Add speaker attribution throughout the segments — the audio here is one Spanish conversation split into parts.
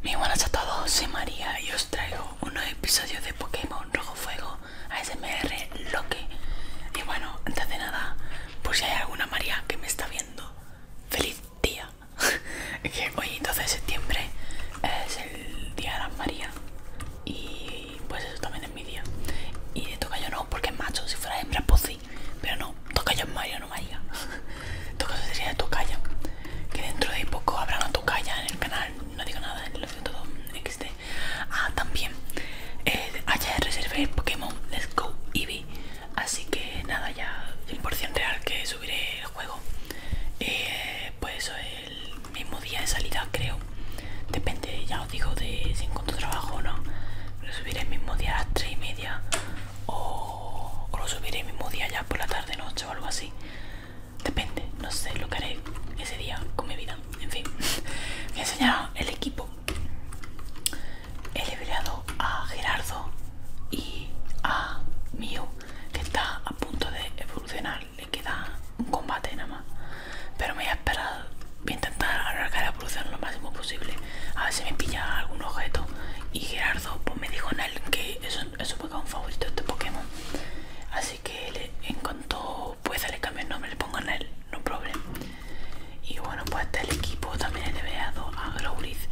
Speaker 1: Muy buenas a todos, soy María y os traigo unos episodios de Pokémon Rojo Fuego a ASMR Loque. Y bueno, antes de nada, por si hay alguna María que me está viendo, feliz día. que hoy 12 de septiembre es el día de las María. Y pues eso también es mi día. Y de toca yo no, porque es macho, si fuera hembra pues sí. Pero no, toca yo es Mario, no María. Toca caso sería de Tokaya, Que dentro de poco habrá una Tokaya en el canal. No digo nada, lo digo todo XD. Ah, también. Eh, ayer reservé Pokémon Let's Go Eevee. Así que nada, ya 100% real que subiré el juego. Eh, pues el mismo día de salida, creo. Depende, ya os digo, de si encuentro trabajo o no. pero subiré el mismo día a las 3 y media o, lo subiré el mismo día ya por la tarde, noche o algo así. Depende, no sé lo que haré ese día con mi vida. En fin, me enseñaron el equipo. He liberado a Gerardo y a mío que está a punto de evolucionar. Le queda un combate nada más. Pero me voy a esperar, voy a intentar arrancar la evolución lo máximo posible. A ver si me pilla algún objeto. Y Gerardo pues me dijo en él que eso es un Pokémon favorito este Pokémon. Así que en cuanto pueda le cambio el nombre, le pongan él, no problema Y bueno, pues está el equipo también he dado a Growlithe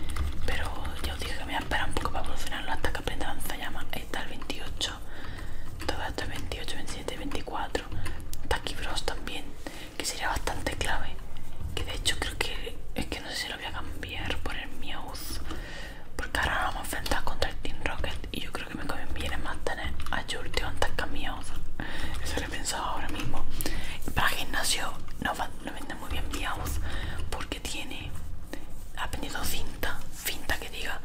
Speaker 1: pero ya os dije que me voy a esperar un poco para evolucionarlo hasta que aprenda lanzallamas. Ahí está el 28, todo esto es 28, 27, 24. Taquibros también, que sería bastante clave. Que de hecho creo que es que no sé si lo voy a cambiar por el Meowth. Porque ahora vamos a enfrentar contra el Team Rocket y yo creo que me conviene más tener a Jurtio antes que a eso lo he pensado ahora mismo. Para gimnasio no, no muy bien Miauz porque tiene, ha vendido cinta, cinta que diga,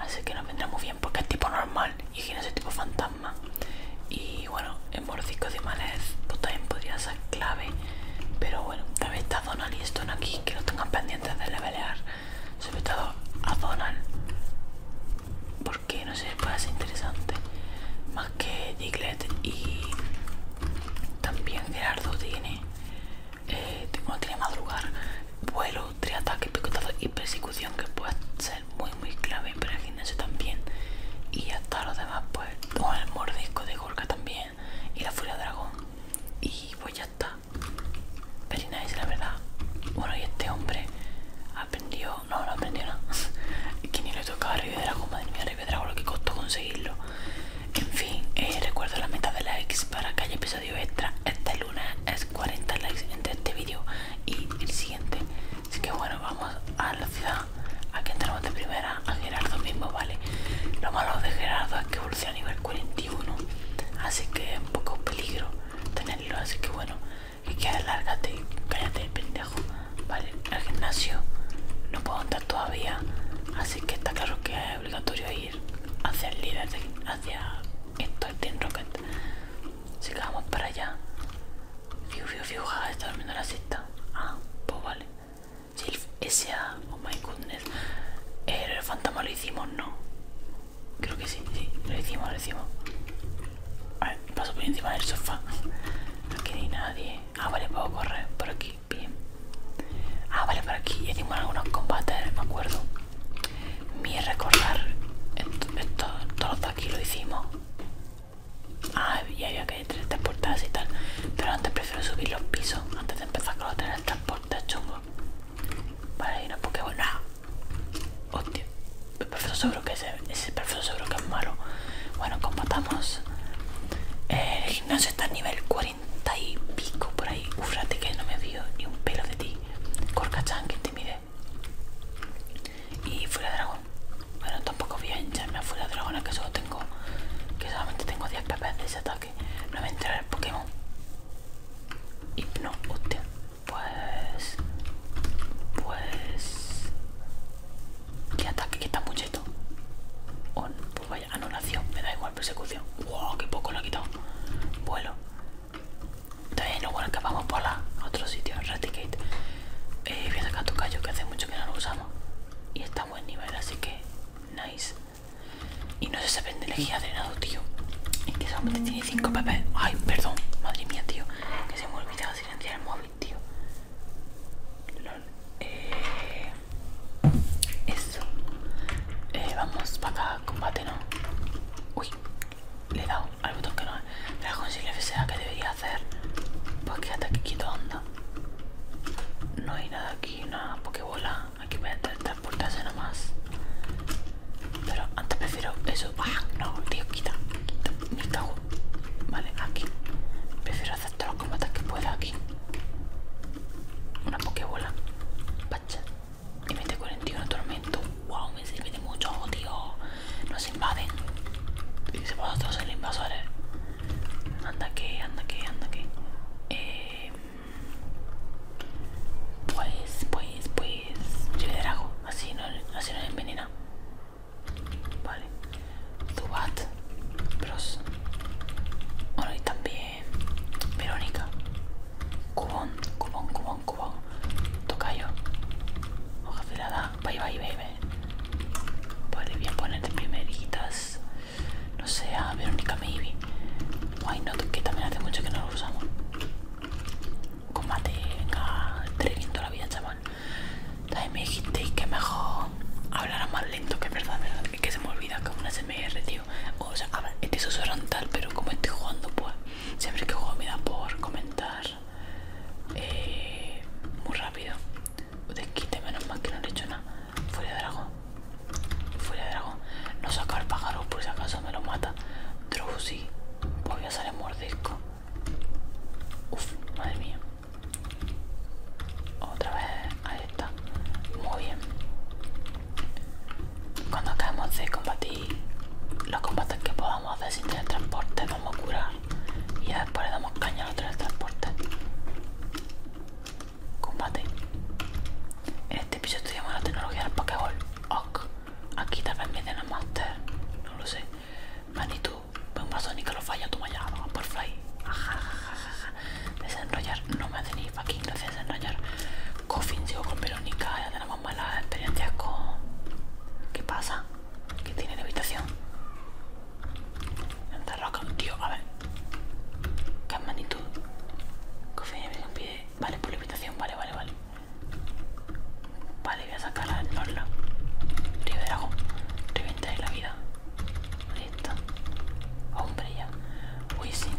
Speaker 1: así que no vendrá muy bien porque es tipo normal y gimnasio es tipo fantasma. Y bueno, en mordisco de malet, pues también podría ser clave, pero bueno, también a Donald y Stone aquí, que lo tengan pendientes de levelear, sobre todo a Donald, porque no sé, puede ser interesante, más que Diglett y también Gerardo tiene, eh, bueno, tiene madrugar, vuelo, triataque, picotazo y persecución, que puede ser muy muy clave para el también, y hasta los demás, pues, con el mordisco de Gorka también y la Furia Dragón. Y pues ya está. Very nice, la verdad. Bueno, y este hombre aprendió. No, no aprendió nada. que ni le tocaba Rive Dragón, madre mía, de Dragón, lo que costó conseguirlo. En fin, eh, recuerdo la meta de likes para que haya episodio extra. Este lunes es 40 likes entre este vídeo y el siguiente. Así que bueno, vamos a la ciudad. Aquí entramos de primera a, Gerardo mismo, ¿vale? Lo malo de Gerardo es que evoluciona a nivel 41, así que es un poco peligro tenerlo, así que bueno, y que alárgate, cállate, pendejo, ¿vale? Al gimnasio no puedo andar todavía, así que está claro que es obligatorio ir hacia el líder, hacia esto, el Team Rocket. Así que vamos para allá. Fiu, fiu, fiu, jaja, está durmiendo la cesta. Ah, pues vale. S.A. Oh my goodness. El fantasma lo hicimos, ¿no? Creo que sí, sí. Lo hicimos, lo hicimos. A paso por encima del sofá. Aquí no hay nadie. Ah, vale, puedo correr por aquí. Bien. Ah, vale, por aquí. Hicimos algunos combates, me acuerdo. Mi recordar. Esto, esto, todos aquí lo hicimos. Ah, y había que tres transportadas y tal. Pero antes prefiero subir los pisos antes de empezar con los el transporte chungo. Vale, y no Pokémon. ¡Ah! Hostia, el seguro que es, ese seguro que es malo. Bueno, combatamos. el gimnasio está a nivel 40 y pico por ahí. frate que no me vio ni un pelo de ti. corkachan que te mire. Y fuera dragón. Bueno, tampoco voy a hincharme a fuera dragona que solo tengo. Que solamente tengo 10 pp de ese tal. No me entra el Pokémon. Hipno, usted. Pues. Pues. ¿Qué ataque? que está mucheto? Oh, pues vaya, anulación. Me da igual, persecución. ¡Wow! ¡Qué poco lo ha quitado! Vuelo. Entonces, no, bueno, que vamos por la otro sitio, Raticate. Eh, voy a tu callo que hace mucho que no lo usamos. Y está en buen nivel, así que. Nice. Y no se saben de elegir adrenado, tío. Es que solamente tiene 5 pp. Ay, perdón, madre mía, tío. Que se me ha olvidado silenciar el móvil, tío. Lol. Eh, eso. Eh, vamos para acá, combate, ¿no? Uy, le he dado al botón que no es. Pero con FSA, ¿qué debería hacer? Pues quédate aquí quito onda No hay nada aquí una pokebola. Aquí voy a transportarse nomás. Pero antes prefiero eso. ¡Ah! No, tío, quita. quita quita Vale, aquí. Prefiero hacer todos los combates que pueda aquí. Una pokebola. Pacha. Y mete 41 tormento. ¡Wow! Me sirve de mucho, tío. Nos invaden. Y se todos los invasores. Anda que, anda que, anda que. Em, pues, pues, pues. Yo de drago, así no, así no le envenena. Vale. Zubat. Bros. Bueno, y también. Verónica. Cubón, cubón, cubón, cubón. Tocayo. Hoja afilada. Bye, bye, baby bye. Vale, voy a poner primeritas no sé, a Verónica Maybe. Why not, que también hace mucho que no lo usamos. Combate, venga, training la vida, chaval. También me dijisteis que mejor hablará más lento, que es verdad, verdad. que se me olvida que es una SMR, tío. O sea, habla, este suelo tal, pero como estoy jugando, pues siempre que juego me da por comentar eh, muy rápido. Desquite, menos mal que no le he hecho nada. Furia de dragón. fuera de dragón. No sacar pájaro por si acaso me lo mata. Drowsy. Voy a salir mordisco. Uf, madre mía. Otra vez. Ahí está. Muy bien. Cuando acabemos de combatir los combates que podamos hacer sin transporte, vamos a curar. Y después le damos caña al otro del transporte. Combate. En este episodio estudiamos la tecnología del Pokéball. Ok. Aquí tal vez me Master. No lo sé. Manitou, un vaso ni que lo falla, Tú me llamas por fly. Ajá, Desenrollar, no me hace ni fucking gracia desenrollar. Coffin, sigo con Verónica, ya tenemos malas experiencias con. ¿Qué pasa? ¿Qué tiene la habitación? con roca, tío, a ver. ¿Qué magnitud? Confía en pie. Vale, por limitación, vale, vale, vale. Vale, voy a sacar a Norla. Río de dragón. Reventaré la vida. Ahí está. Hombre ya. Wisin.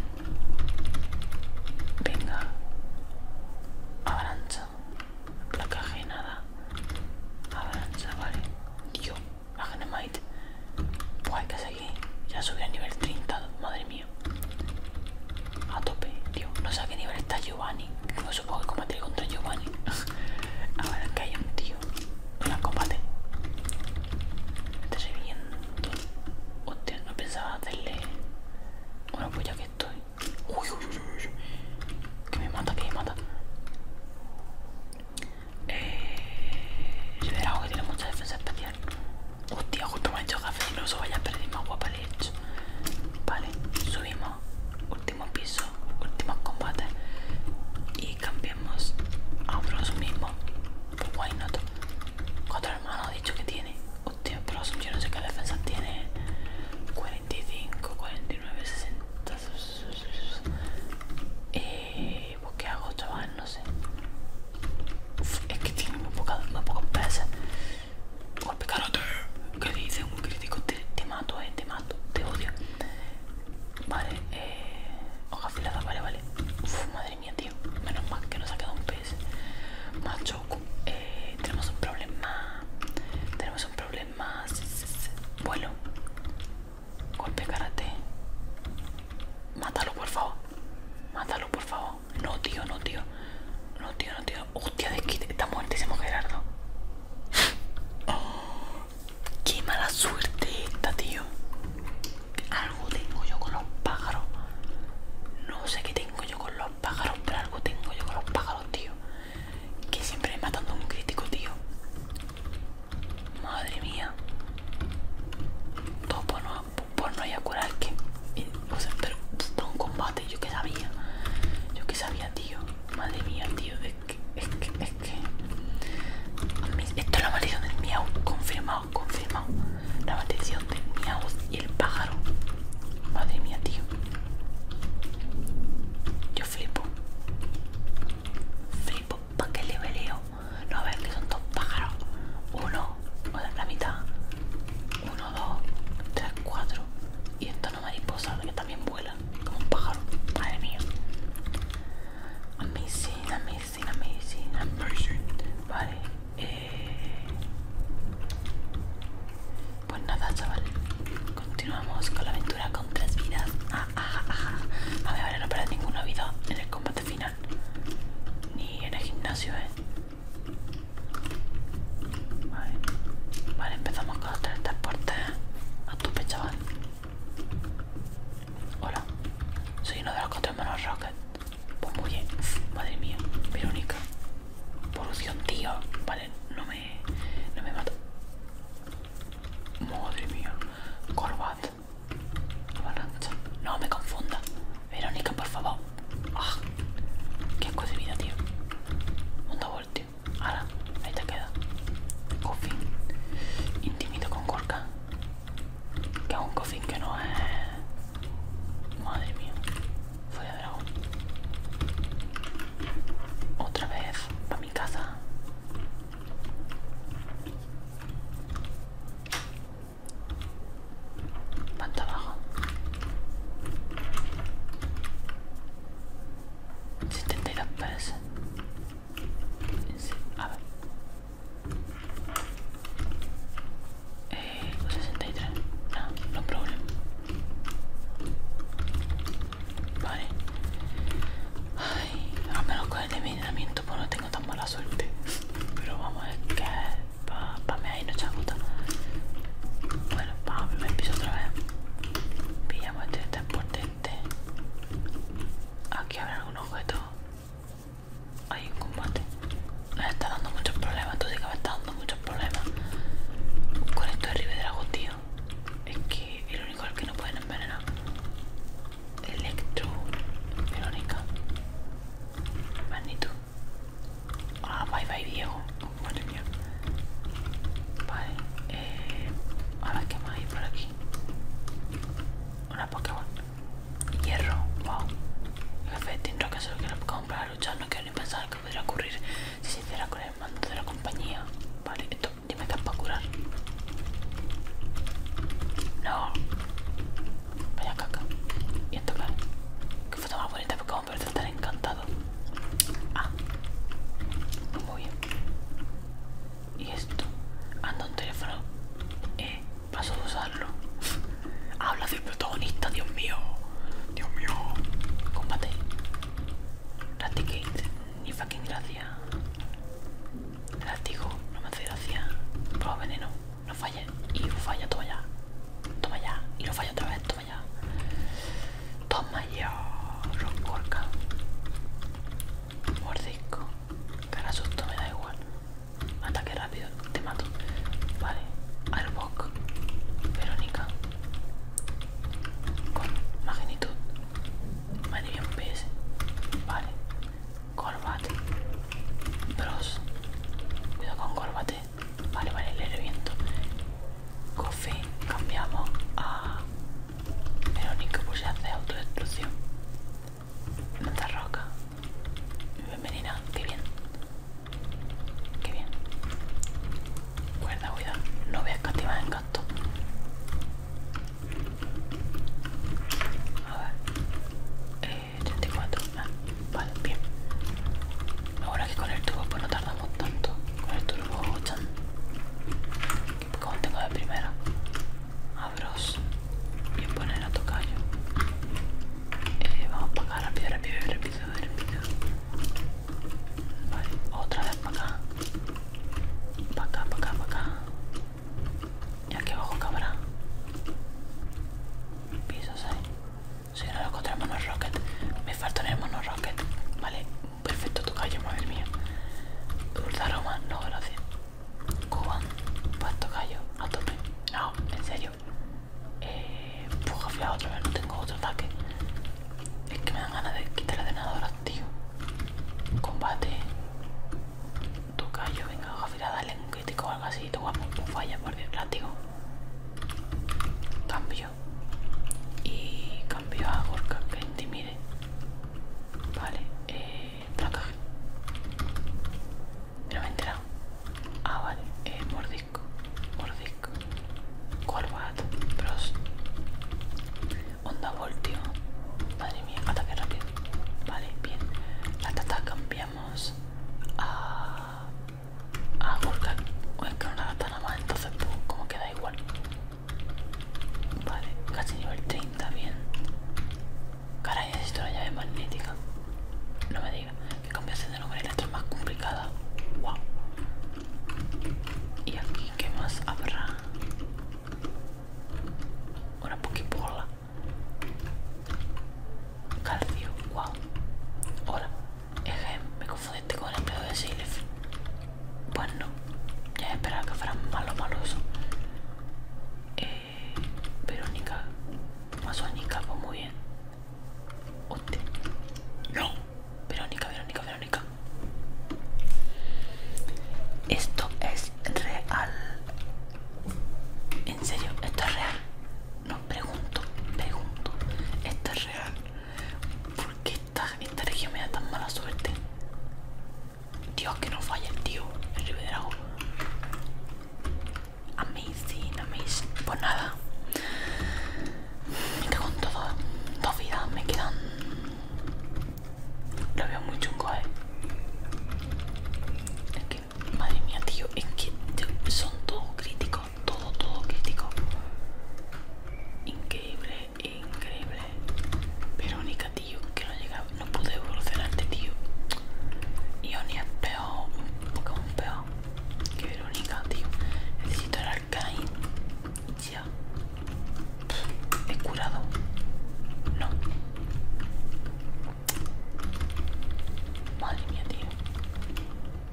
Speaker 1: Venga. Avalancha. la nada. Avalancha, vale. Tío la Genemite. ¡Guay hay que seguir. Ya subí al nivel 30, madre mía. A tope, tío. No sé a qué nivel está Giovanni. No supongo que combatiré contra Giovanni. a ver, qué hay un tío. Hola, combate. Estoy viendo. Hostia, no pensaba hacerle. Bueno, pues ya que estoy. Uy, uy, uy, uy. Que me mata, que me mata. Eh, algo que tiene mucha defensa especial. Hostia, justo me ha hecho café. No se vaya a perder más guapa hecho. Vale, subimos. Último piso, último combate Y cambiamos a prosumismo. mismos. Pues guay, no. Cuatro hermanos ha dicho que tiene. Hostia, pero yo no sé qué defensa tiene. 45, 49, 60 qué hago chaval, ah, no sé. es que tiene muy poca, muy Golpe carote. ¿Qué dice un crítico? Te, mato, eh, te mato, te odio. Vale, eh. Hoja afilada, vale, vale. madre mía, tío. Menos mal que nos ha quedado un pez. Macho, eh, tenemos un problema. Tenemos un problema. bueno Golpe karate. Mátalo, por favor. Mátalo, por favor. No, tío, no, tío. No, tío, no, tío. Hostia, que Está muertísimo Gerardo. qué mala suerte esta, tío. Algo tengo yo con los pájaros. No sé qué tengo yo con los pájaros, pero algo tengo yo con los pájaros, tío. Que siempre matando a un crítico, tío. Madre mía. Todo por no, por no ir a curar que. Eh, o sea, pero un combate, yo que sabía. Yo que sabía, tío. Madre mía, tío. Es que, es que, es que. esto es la maldición del miau. Confirmado, confirmado. La maldición del miau y el pájaro. Madre mía, tío. Yo flipo. Flipo, pa' que le veleo no a ver, que son dos pájaros uno, o sea, la mitad uno, dos, tres, cuatro y esta no mariposa que también vuela como un pájaro, madre mía amazing, amazing, amazing, missing vale, eh. pues nada chaval continuamos con la aventura con tres vidas ajá, ajá, ajá. Vale, vale, no perder ninguna vida en el combate final. Ni en el gimnasio, eh. Vale, vale empezamos con los transporte. a tope, chaval. Hola, soy uno de los cuatro hermanos Rocket. Pues muy bien, madre mía, Verónica. Polución, tío. Vale, no me. no me mata. Madre mía, Corbat. No me confunda. Verónica, por favor. Ah, qué cosa de vida, tío. Un doble, tío. Ahora, ahí te queda. Coffin. Intimido con Gorka Que es un coffin que no es. Madre mía. Fuera de dragón. Otra vez. Para mi casa. Panta abajo. Setenta y A ver. Eh, 63. No, no problema. Vale a menos con el envenenamiento, pues no tengo tan mala suerte. Pero vamos a que qué para pa mí ahí no Bueno, vamos, me empiezo otra vez. Pillamos este transporte este. Aquí habrá algún objeto. Hay un combate. Me está dando muchos problemas, tú sí que me está dando muchos problemas. Con esto de Ribedrago, tío. Es que el único al que no pueden envenenar. Electro, Verónica, magnitud. Ah, bye bye Diego. Vale. Eh, ahora que más hay por aquí. Una Pokémon. Hierro. Wow. Jefe, tendrá que ser que la comprar ya No quiero ni pensar que podría ocurrir si se hiciera con el mando de la compañía. Vale, esto Dime que es para curar. No. Vaya caca. Y esto claro. Qué foto más bonita porque vamos a ver si estar encantado. Ah. Pues muy bien. Y esto. Anda un teléfono. Eh. Paso a usarlo. Habla del protagonista, Dios mío. Dios mío. Combate. Raticate. Ni fucking gracia. Artigo, no me hace gracia. Prueba veneno, no falles Y falla, toma ya. Toma ya. Y lo falla otra vez, toma ya. Toma ya. Rocorca. Mordisco. Cara susto, me da igual. Ataque rápido, te mato. Vale. Arbok. Verónica. Con magnitud. Madre mía, PS. Vale. Corbate Bros Cuidado con corbate Vale, vale, le reviento Coffee Cambiamos a Verónica por si hace autodestrucción Manta roca Bienvenida, qué bien Qué bien Cuerda, cuidado No voy a escatimar el gasto a ver, eh, 34, ah, vale, bien. Ahora que con el tubo pues no tardamos tanto. Con el turbo chan. Como tengo de primera. bros, Bien poner a tocayo. Eh, vamos para acá, rápido, rápido, rápido, rápido. Vale, otra vez para acá. Para acá, para acá, para acá. Y aquí abajo cámara. Pisos ahí. Si no lo encontramos en el Rocket. Me falta en el Mono Rocket. Vale, perfecto tu callo, madre mía. Turda aroma, no velocidad Cuban, pasto callo, a tope. No, en serio. Eh. Puja otra vez, no tengo otro ataque. Es que me dan ganas de quitar la denadora, tío. Combate toca yo venga, a dale un crítico o algo así. y guapo, un falla porque látigo. Cambio. Y cambio a Gorka que intimide. Vale, eh. Placaje. No me he enterado. Ah, vale, eh, mordisco. Mordisco. Corbat. Pros onda voltio madre mía ataque rápido vale bien la tata cambiamos a a o es que no la gata nada más entonces como queda igual vale casi nivel 30 bien caray necesito una llave magnética no me diga que cambiaste de nombre otra más complicada wow y aquí qué más habrá una poquipola Calcio, wow. Hola. Eje, me confundiste con el pedo de Silef. bueno, pues Ya esperaba que fuera malo maloso. Eh, Verónica. Masónica, pues muy bien. hostia No. Verónica, Verónica, Verónica. Esto es real. En serio, esto es real. No, pregunto, pregunto. Esto es real. ¿Por qué esta, esta región me da tan mala suerte? Dios, que no falla el tío. El Ribedrago. Amazing, amazing. Pues nada. Me cago en todo. Dos vidas. Me quedan lo veo muy chungo, eh. Es que, madre mía, tío, es que son todo críticos, todo, todo crítico. Increíble, increíble. Verónica, tío, que no llegaba, no pude evolucionarte, tío. Ionia es peor, un poco peor que Verónica, tío. Necesito el arcaín. ¿He curado? No. Madre mía, tío.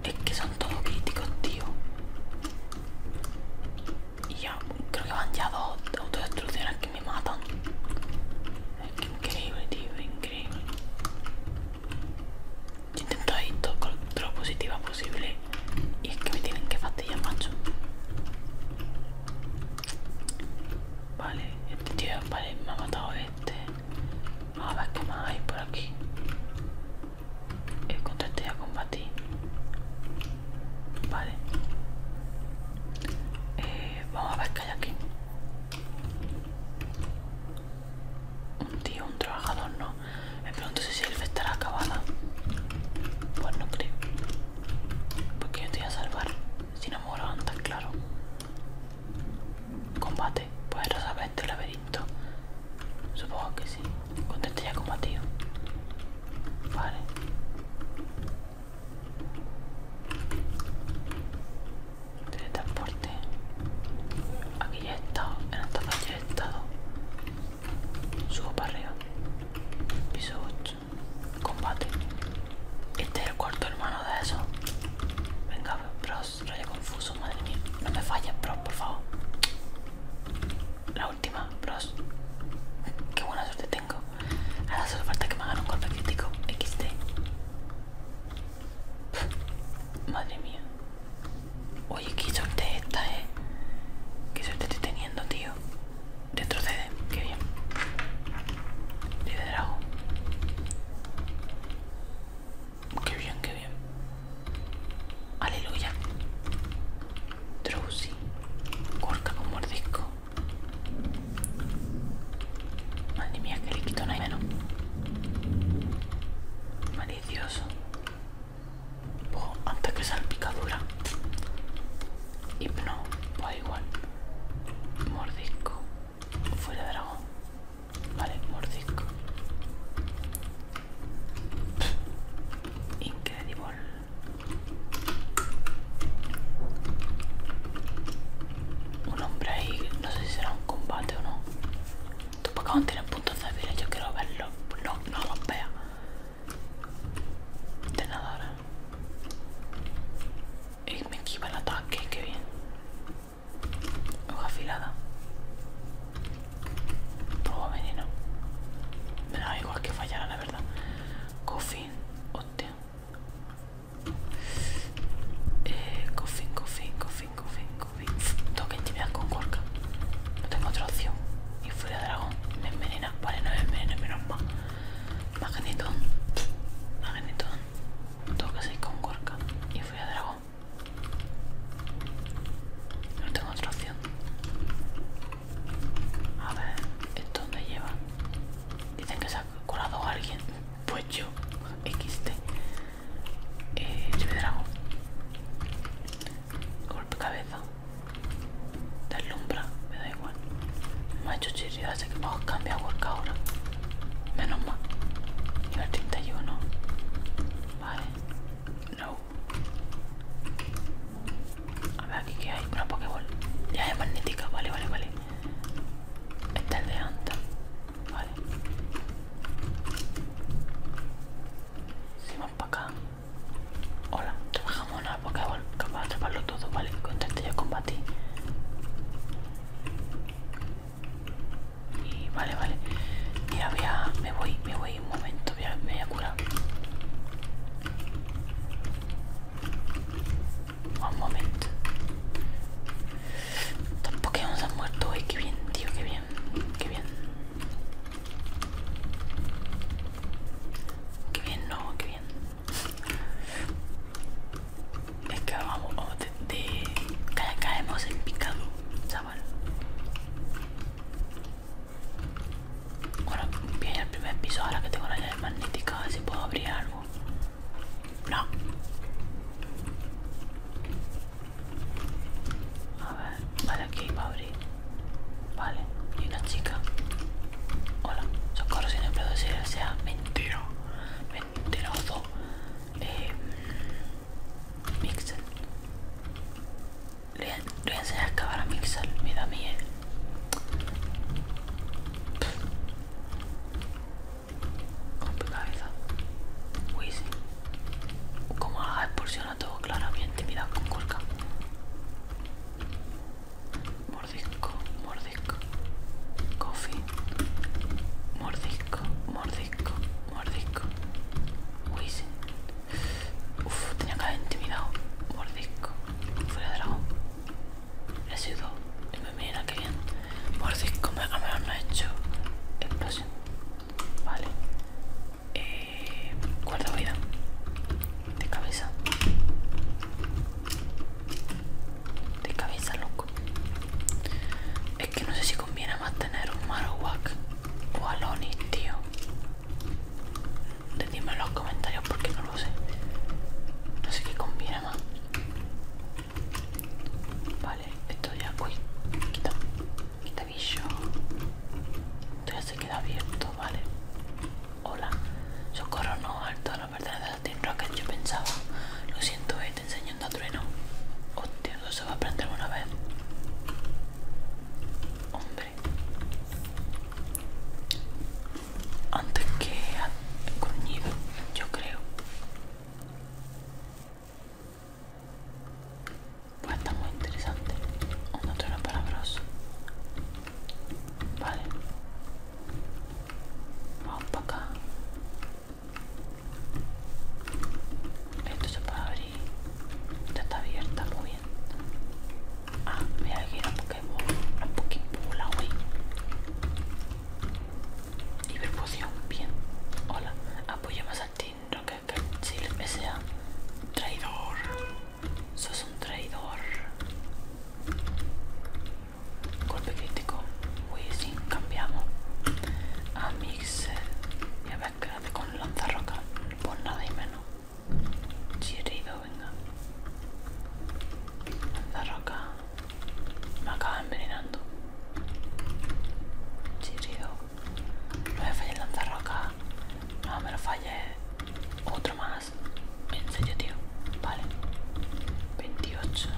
Speaker 1: Es que son todos críticos, tío. Y ya, creo que van ya dos autodestrucciones que me matan. Es que increíble, tío, increíble. Yo intento todo con lo positiva posible. Y es que me tienen que fastidiar, macho. Vale, este tío, vale, me ha matado este. vamos A ver qué más hay por aquí. El este ya combatí. Vale. Eh, vamos a ver qué hay aquí. Un tío, un trabajador, no. Me pregunto si el estará acabada. Pues no creo. Porque yo te voy a salvar si no muero antes, claro. Combate, resolver este laberinto. Supongo que sí. Conteste ya combatido. Vale. Teletransporte. Aquí ya he estado. En esta parte ya he estado. Subo para arriba. Piso 8. Combate. Este es el cuarto hermano de eso. Venga, bros, ya confuso, madre mía. No me falles, bros, por favor. La última, bros. Qué buena suerte tengo. Ahora solo falta que me hagan un golpe crítico. XD. madre mía. Oye, qué suerte esta, eh. Qué suerte estoy teniendo, tío. Retrocede, qué bien. dragón. Qué bien, qué bien. Aleluya. Drowsy. Corta con mordisco. Madre mía, que le quito no hay menos. Malicioso. antes que salpicadura. Hipno, pues igual. Mordisco. Fuera de dragón. Vale, mordisco. Incredible Un hombre ahí, no sé si será un combate o no. Tú por tienen puntos débiles, yo quiero verlo. No, no vea de nada y me equiva el ataque, que bien hoja afilada proba veneno me da igual que fallara la verdad coffin, hostia eh, coffin, coffin, coffin, coffin, coffin tengo que con corca no tengo otra opción y de dragón me envenena, vale no me envenena menos mal Magnetón, tengo que seguir con Gorka y fui a Dragón. No tengo otra opción. A ver, ¿esto dónde lleva? Dicen que se ha curado alguien. Pues yo, XT. Eh, yo Dragón. Golpe cabeza. Deslumbra, me da igual. Macho chirrido hace que vamos cambia a work ahora. Menos mal. Nivel 31. Vale. No. A ver aquí que hay. Una Pokéball. Ya es magnética. Vale, vale, vale. Esta es de antes. Vale. Si vamos para acá. Hola, trabajamos en la Pokéball, capaz de atraparlo todo, ¿vale? Contente yo combatir. Y vale, vale. Mira, voy a, me voy, me voy un momento, voy a, me voy a curar. Un momento. Estos Pokémon han muerto hoy, qué bien, tío, qué bien, qué bien. Qué bien, no, qué bien. Es que vamos, oh, de, caemos en picado, chaval. Bueno, bien el primer piso ahora que tengo la llave magnética, a ver si puedo abrir algo. No. A ver, vale, aquí va a abrir. Vale, y una chica. Hola, socorro sin puedo decir el sea mentiro, mentiroso. Eh, Mixel. Le, le voy a enseñar a a Mixel, mira mía. Eh. Con cabeza. Uy, sí. Como la expulsión todo claramente, mira con colca mordisco, mordisco, coffee, mordisco, mordisco, mordisco, wishing, uff, tenía que haber intimidado, mordisco, fuera de dragón, he sido, y me mira que bien, mordisco, me, me ha hecho explosión, vale, eh, guarda vida, de cabeza. De cabeza, loco. Es que no sé si conviene más tener un Marowak o Alonis, tío. dime en los comentarios porque no lo sé. No sé qué conviene más. Vale, esto ya. voy quita. Quita bicho. Esto ya se queda abierto, vale. Hola, socorro no, alto, no de la Team Rocket, yo pensaba. Lo siento, eh, te enseñando a trueno. Hostia, no se va a aprender una vez. Hombre. Antes que gruñido, yo creo. Pues está muy interesante. Un trueno bros. Vale. Vamos para acá. Esto se puede abrir. Esta está abierta, muy bien. Ah, mira aquí la Pokémon. La Pokémon, la wey. Hiperpoción, bien. Hola. Apoyo más al Team Rocket que si les desea. Traidor. Sos un traidor. Golpe crítico. Uy, sí, cambiamos. A mix. Y a ver, quédate con lanzarroca. Por pues nada y menos. Chirido, venga. Lanzarroca. Me acaba envenenando. Chirido. No me falles lanzarroca. No me lo falle Otro más. En serio, tío. Vale. 28.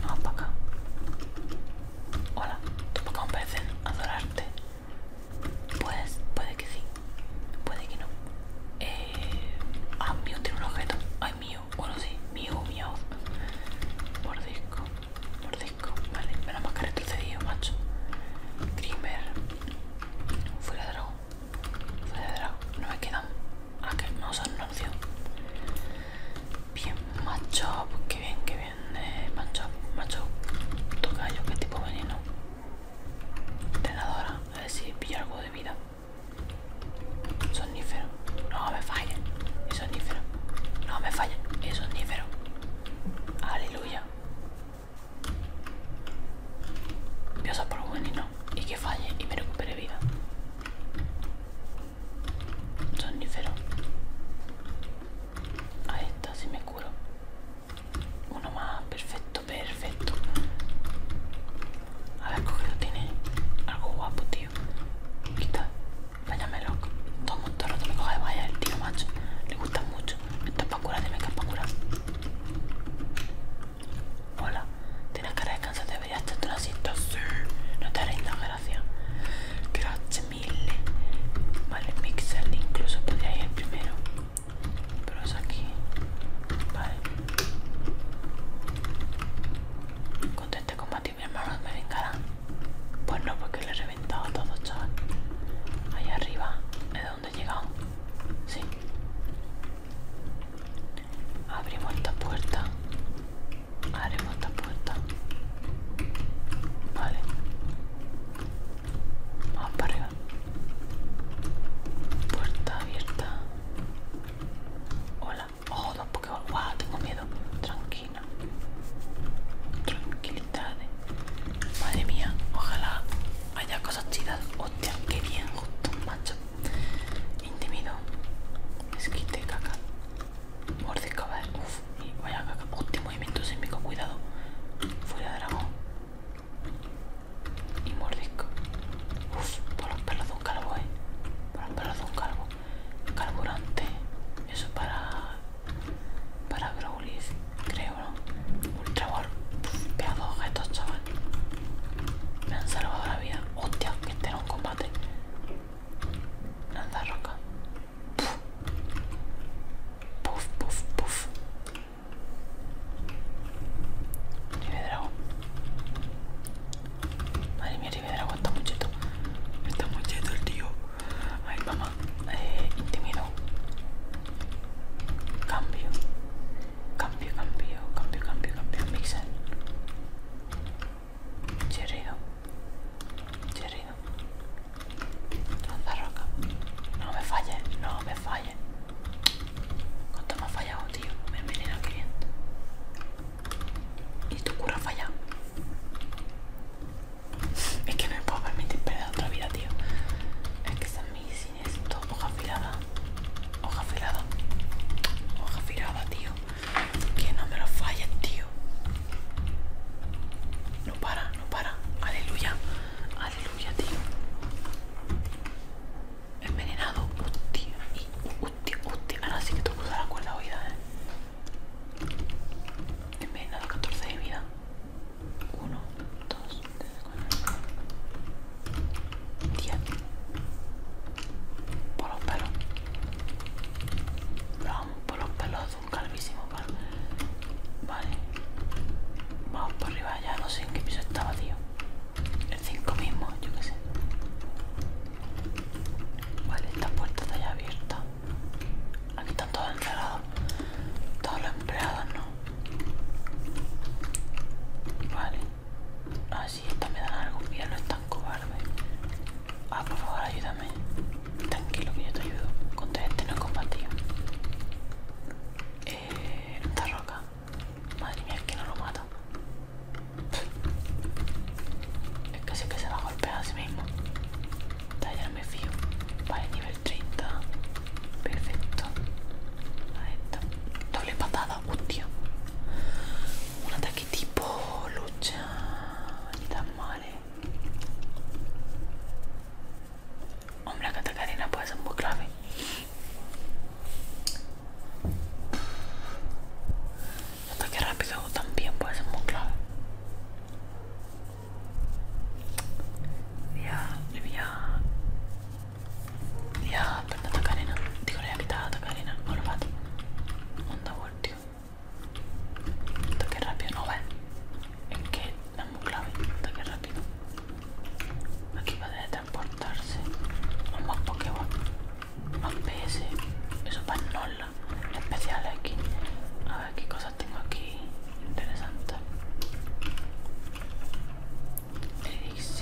Speaker 1: Vamos para acá. Hola, tú para acá me parecen adorarte. Pues, puede que sí. Puede que no. Eh, ah, mío tiene un objeto. Ay, mío. Bueno, sí. Mío, mío. Mordisco. Mordisco. Vale, Me la más que retrocedido, macho. Grimer. Fuera de dragón. Fuera de dragón. No me quedan. ¿a que no son una Bien, macho. Qué bien, qué bien. Machop, eh, macho, macho. Toca yo qué tipo veneno. Tenadora. A ver si pillo algo de vida. Sonífero. No me falle, Es sonífero. No me falle, Es sonífero. Aleluya. Voy a usar por un y que falle y me recupere vida. Sonífero. Ahí está, si me curo. Uno más, perfecto, perfecto. A ver, lo tiene algo guapo, tío. Aquí está. Vaya loco. Todo el no te me coge vaya el tío, macho. Le gusta mucho. Esto es curar? dime que es curar Hola, tienes cara de cansado, deberías estar una asiento, Sí, no te nada gracias. Gracias mil Vale, Mixer, incluso podría ir primero. Pero es aquí. Vale. Conteste mi hermano me vengarán. Pues no, porque le he reventado a todos, chaval. Allá arriba, es dónde he llegado. Sí. Abrimos esta puerta. Abrimos esta puerta. Vale. Vamos para arriba. Puerta abierta. Hola. Oh, dos Pokémon. wow, tengo miedo. Tranquila. Tranquilo. Madre mía, ojalá haya cosas chidas. Hostia, qué bien, justo, macho. Intimido. Esquite, caca. mordisco, va Uf, vaya caca. Hostia, movimiento sísmico, cuidado. Fuera dragón. Y mordisco. Uf, por los perros de un calvo, eh. Por los perros de un calvo. Carburante. Eso para para Growlithe, creo, ¿no? Ultra Ball. vea estos, objetos, chaval. Me han salvado la vida. Hostia, que este era un combate. Lanza roca. Puf. Puf, puf, puf. Madre mía, de dragón está muy cheto. Está muy cheto el tío. Ay, mamá eh, intimidó. Cambio. Cambio, cambio, cambio, cambio, cambio. Mixer. Chirrido. Chirrido. Lanza No me falles, no me falles. ¿Cuánto me ha fallado, tío? Me viene al cliente. Y tu cura falla. Es que no me puedo permitir perder otra vida, tío. Es que mis sin todo hoja afilada. Hoja afilada. Hoja afilada, tío. Que no me lo falles, tío. No para, no para. Aleluya. Aleluya, tío. Envenenado. Hostia. Y, hostia, hostia. Ahora sí que te dar la cuerda oída, eh. Envenenado 14 de vida. 1, 2, 3, 4, 10 por los pelos vamos por los pelos de un calvísimo palo vale vamos por arriba ya no sé en qué piso estaba tío el 5 mismo yo qué sé vale esta puerta está ya abierta aquí están todos enredados todos los empleados ¿no? Vale. Ah, si estas me dan algo. ya no es tan cobarde. Ah, por favor, ayúdame. Tranquilo que yo te ayudo. Contra este no es combatido. Eh. Esta roca. Madre mía, es que no lo mata. Es que sé que se va a golpear a sí mismo. Ya no me fío. Vale, nivel 30. Perfecto. a está. Doble patada, hostia. Un ataque tipo lucha. Ni tan mal, eh. hombre que la Catacarina puede ser muy clave. Un ataque rápido también puede ser muy clave. Diablo, ya, ya, anda a Tacarena. Digo, le voy a quitar a Tacarena. No lo maté. Onda, voltio. Ataque rápido, no va. Es que es muy clave. Ataque rápido. Aquí va a transportarse. Vamos más Pokémon. Más PS. Eso para Nola. Especial aquí. A qué cosas tengo aquí interesante.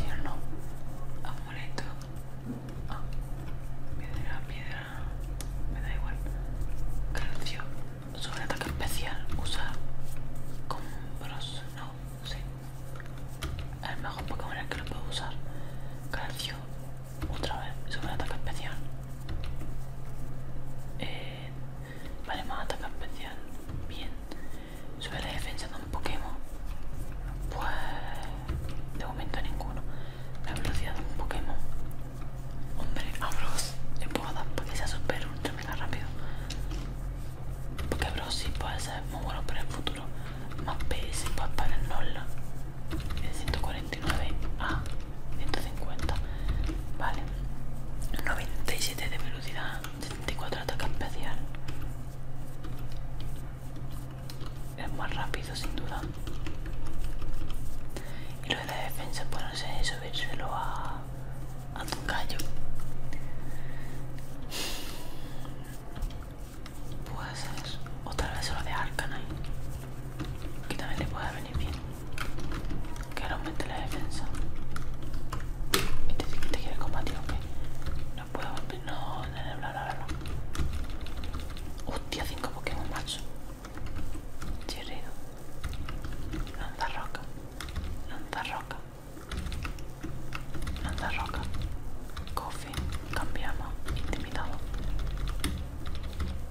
Speaker 1: o no. Amuleto. Ah, piedra, piedra. Me da igual. Calcio. Sobre ataque especial. Usa compros. No, sí. El mejor Pokémon que lo puedo usar. Calcio. Otra vez. Sobre ataque especial. Eh, Vale, más ataca especial. Bien. Sube la defensa de un Pokémon. Pues. De momento ninguno. La velocidad de un Pokémon. Hombre, a Bros. Le puedo dar para que sea super ultra mega rápido. Porque Bros sí puede ser muy bueno para el futuro. Más PS para el null. 149 a 150 vale 97 de velocidad 74 ataque especial es más rápido sin duda y lo de la defensa pues no sé, subírselo a, a tu puede ser o tal vez solo de Arcanine que también le pueda venir bien que aumente la defensa. ¿Y este que te quiere combatir, ok. No puedo volver, no, no, no, no, no. Hostia, 5 Pokémon, macho. Chirrido. Lanza roca. Lanza roca. Lanza roca. Coffee. Cambiamos. Intimidado.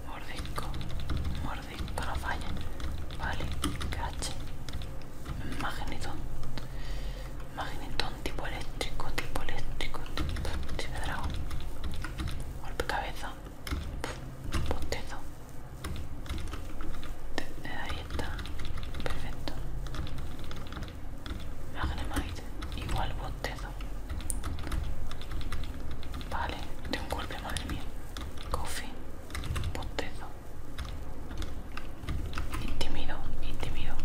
Speaker 1: Mordisco. Mordisco. Para no Vale, cache. Magnetón. Magnetón tipo eléctrico, tipo eléctrico, tipo, dragón. Golpe cabeza. Postezo. Eh, ahí está. Perfecto. Magnemite. Igual bostezo. Vale, de un golpe, madre mía. Coffee. Botezo Intimido, intimido.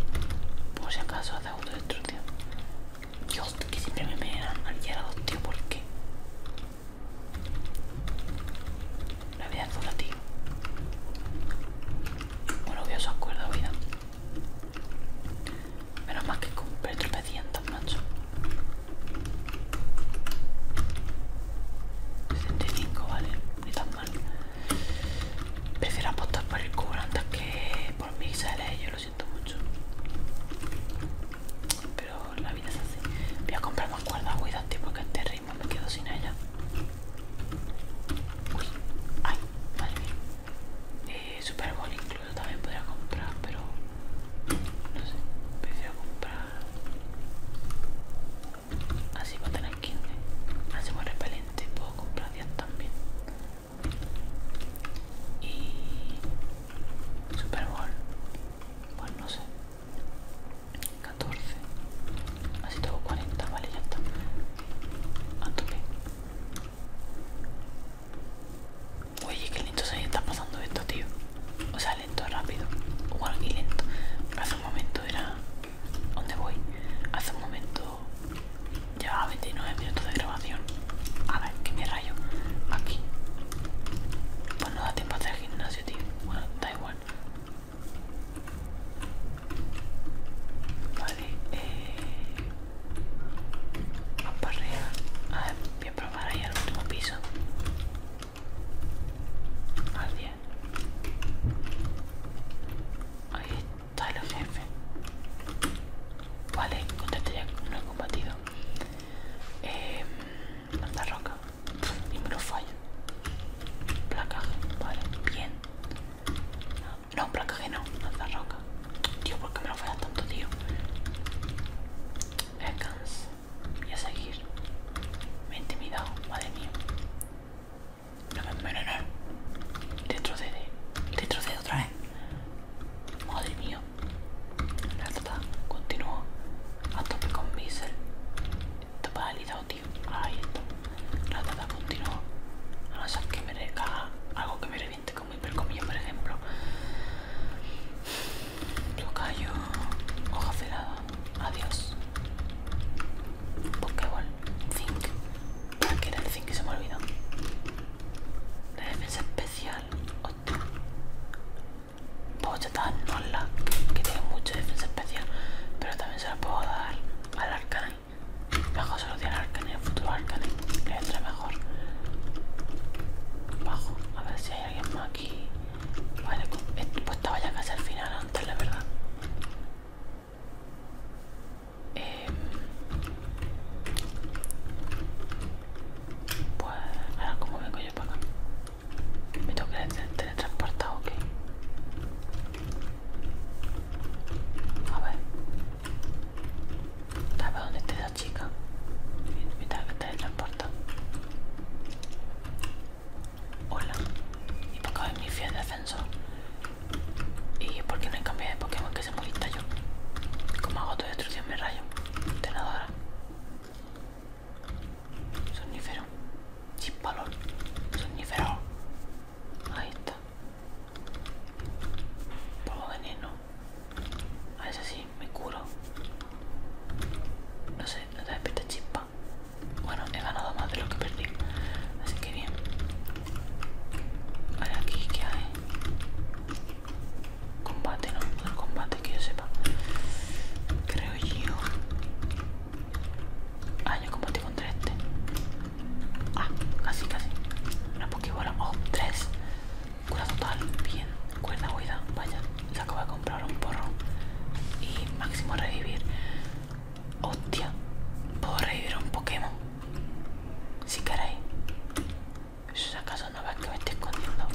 Speaker 1: Por si acaso hace autodestrucción. Dios, que siempre me dan al tío, ¿por qué? La vida es dura, tío. Bueno, que se acuerdo, vida. Menos más que con tropecientos, macho. 65, vale, ni tan mal. Prefiero apostar por el cubo antes que por mí, sales, yo lo siento mucho. Pero la vida es así. Voy a comprar más cuerdas cuidante porque este ritmo me quedo sin ella. Uy, ay, madre mía. Eh, Super Bowl incluso también podría comprar, pero no sé, prefiero comprar Así va a tener 15. Hacemos ¿eh? repelente. Puedo comprar 10 también. Y. Super Bowl. Pues no sé. 14. Así tengo 40. Vale, ya está. A tope. Oye, que lindo se está pasando esto, tío. O sea, lento rápido igual y lento hace un momento era ¿dónde voy? hace un momento llevaba 29 minutos de grabación a ver que me rayo aquí pues no da tiempo a hacer gimnasio tío bueno da igual vale eh Vamos para arriba. A ver, voy a probar ahí al último piso. Al Ahí está el jefe. Vale, contesté ya no he combatido. Eh, roca. y me lo fallo. Placaje, vale, bien. No, placaje no, lanza roca. Tío, ¿por qué me lo fallas tanto, tío? Descansa. Voy a seguir. Me he intimidado, madre mía. No, no, no, y Retrocede. de otra vez. Madre mía. La tata continuó A tope con Bissell. Está paralizado, tío. Ahí está. La tata continúa. A no ser que me recaga algo que me reviente como percomillo por ejemplo callo, hoja afilada, adiós. Pokéball, Zinc. ¿Para ah, qué era el Zinc? Se me olvidó. La defensa especial, Ostras. Puedo tratar Nola, que tiene mucha defensa especial, pero también se la puedo dar al Arcane. Bajo solo tiene al Arcane, el futuro Arcane, que es mejor. Bajo, a ver si hay alguien más aquí. Vale, pues, eh, pues estaba ya casi al final antes, la verdad. Em, pues ahora cómo vengo yo para acá. Me tengo que teletransportar o A ver. ¿Sabes dónde está esa chica? Me tengo que teletransportar. Hola. ¿Y por qué mi fiel defensor? ¿Y por no hay cambia de Pokémon que se molesta yo? Como hago tu destrucción me rayo. Tenadora. Sonífero. Sin Sonífero. Ahí está. Polvo veneno. A ese sí me curo. No sé, no te despierta chispa. Bueno, he ganado más de lo que perdí. Así que bien. Vale, aquí que hay. Combate, no, el combate que yo sepa. Creo yo. Ah, yo combatí contra este. Ah, casi, casi. Una pokebola. Oh, tres. Cura total. Bien. Cuerda huida, vaya, se acaba de comprar un porro y máximo revivir. Hostia, puedo revivir un Pokémon. Si queréis. Si acaso no veas que me estoy escondiendo.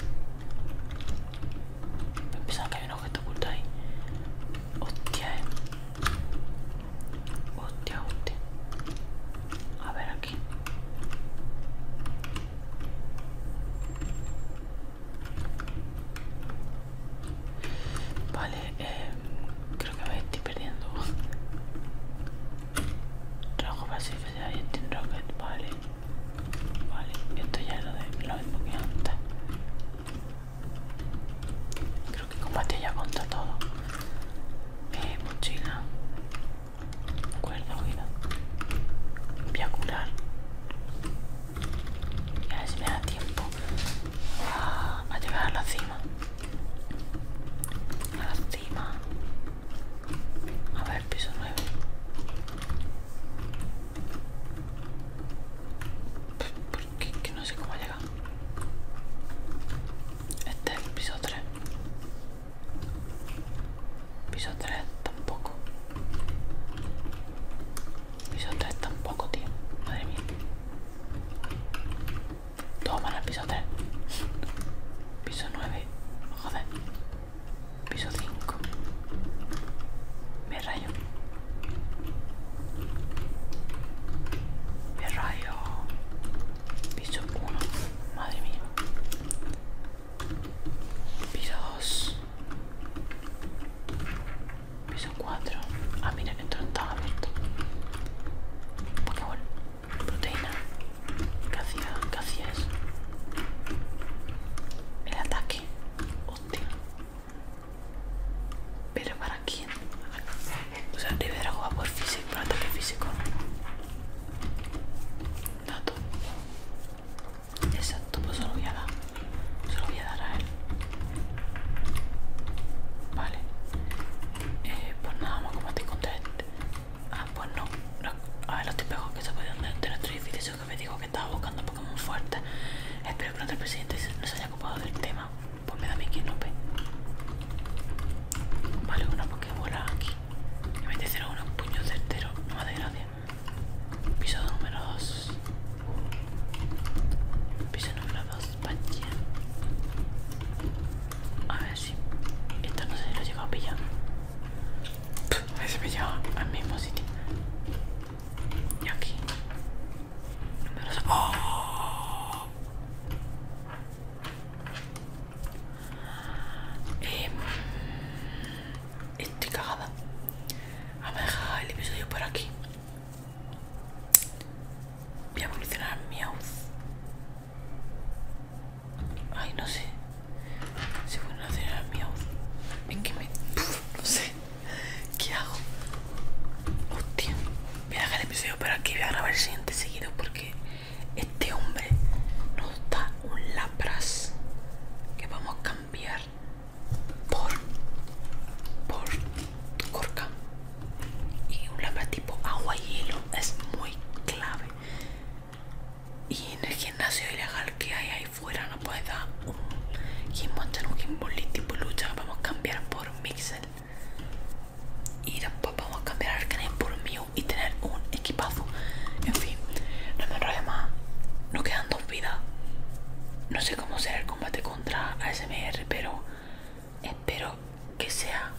Speaker 1: Pensaba que había un objeto oculto ahí. Hostia, eh. Hostia, hostia. A ver aquí. Vale, em, creo que me estoy perdiendo. Trabajo vacío ya y Steam Rocket, vale. Vale, esto ya lo, de, lo mismo que antes. Creo que combate ya contra todo. Eh, mochila. Cuerda, oída. Voy a curar. Y a ver si me da tiempo a, llegar a la cima. A la cima. A ver, piso 9. Porque que no sé cómo llegar. Este es el piso 3. Piso 3 tampoco. Piso 3 tampoco, tío. Madre mía. Toma el piso 3. Piso 9. Joder. Piso 5. Me rayo. Me rayo. Piso 1. Madre mía. Piso 2. Piso 4. Ah, mira, esto no estaba abierto. Pokémon Proteína. ¿Qué hacía? ¿Qué hacía eso? El ataque. Hostia. ¿Pero para quién? O sea, Rivera juega por físico, por ataque físico. Dato. Exacto, pues se lo voy a dar. Se lo voy a dar a él. Vale. Eh, pues nada, vamos a combatir contra Ah, pues no. A ver, los tipejos que se pueden tres tres eso que me dijo que estaba buscando Pokémon fuerte. Espero que otro presidente no se haya ocupado del tema. Pues me da mi ve. Vale, una Pokébola aquí. Y me te unos puños certeros. No me da gracia. Piso número 2. Piso número 2, A ver si. Esto no sé si lo he llegado a pillar. a ver si me lleva al mismo sitio. Y aquí. Número 2. ¡Oh! Eh, Estoy cagada. Vamos a dejar el episodio por aquí. Voy a evolucionar mi voz. Ay, no sé. Si voy a evolucionar mi voz? Es que me. no sé. ¿Qué hago? Hostia. Voy a dejar el episodio por aquí. Voy a grabar el siguiente seguido porque este hombre nos da un lapras que vamos a cambiar por por corca y un lápiz tipo agua hielo es muy clave y en el gimnasio ilegal que hay ahí fuera no puedes dar un gimbal un tipo lucha vamos a cambiar por mixel y después vamos a cambiar al canal por mío y tener un equipazo en fin no me más no quedan no sé cómo será el combate contra ASMR, pero espero que sea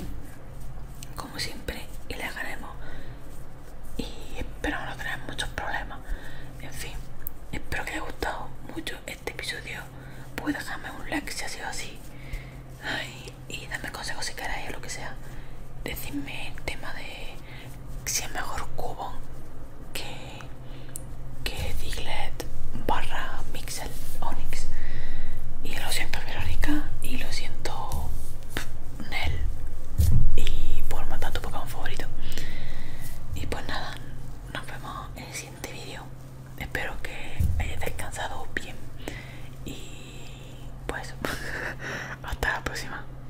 Speaker 1: como siempre y le ganemos. Y espero no tener muchos problemas. En fin, espero que haya gustado mucho este episodio. Puede dejarme un like si ha sido así. y dame consejos si queréis o lo que sea. Decidme el tema de si es mejor Cubon que, que barra Mixel Onyx. Y lo siento Verónica y lo siento Nel y por matar tu Pokémon favorito. Y pues nada, nos vemos en el siguiente vídeo. Espero que hayas descansado bien. Y pues hasta la próxima.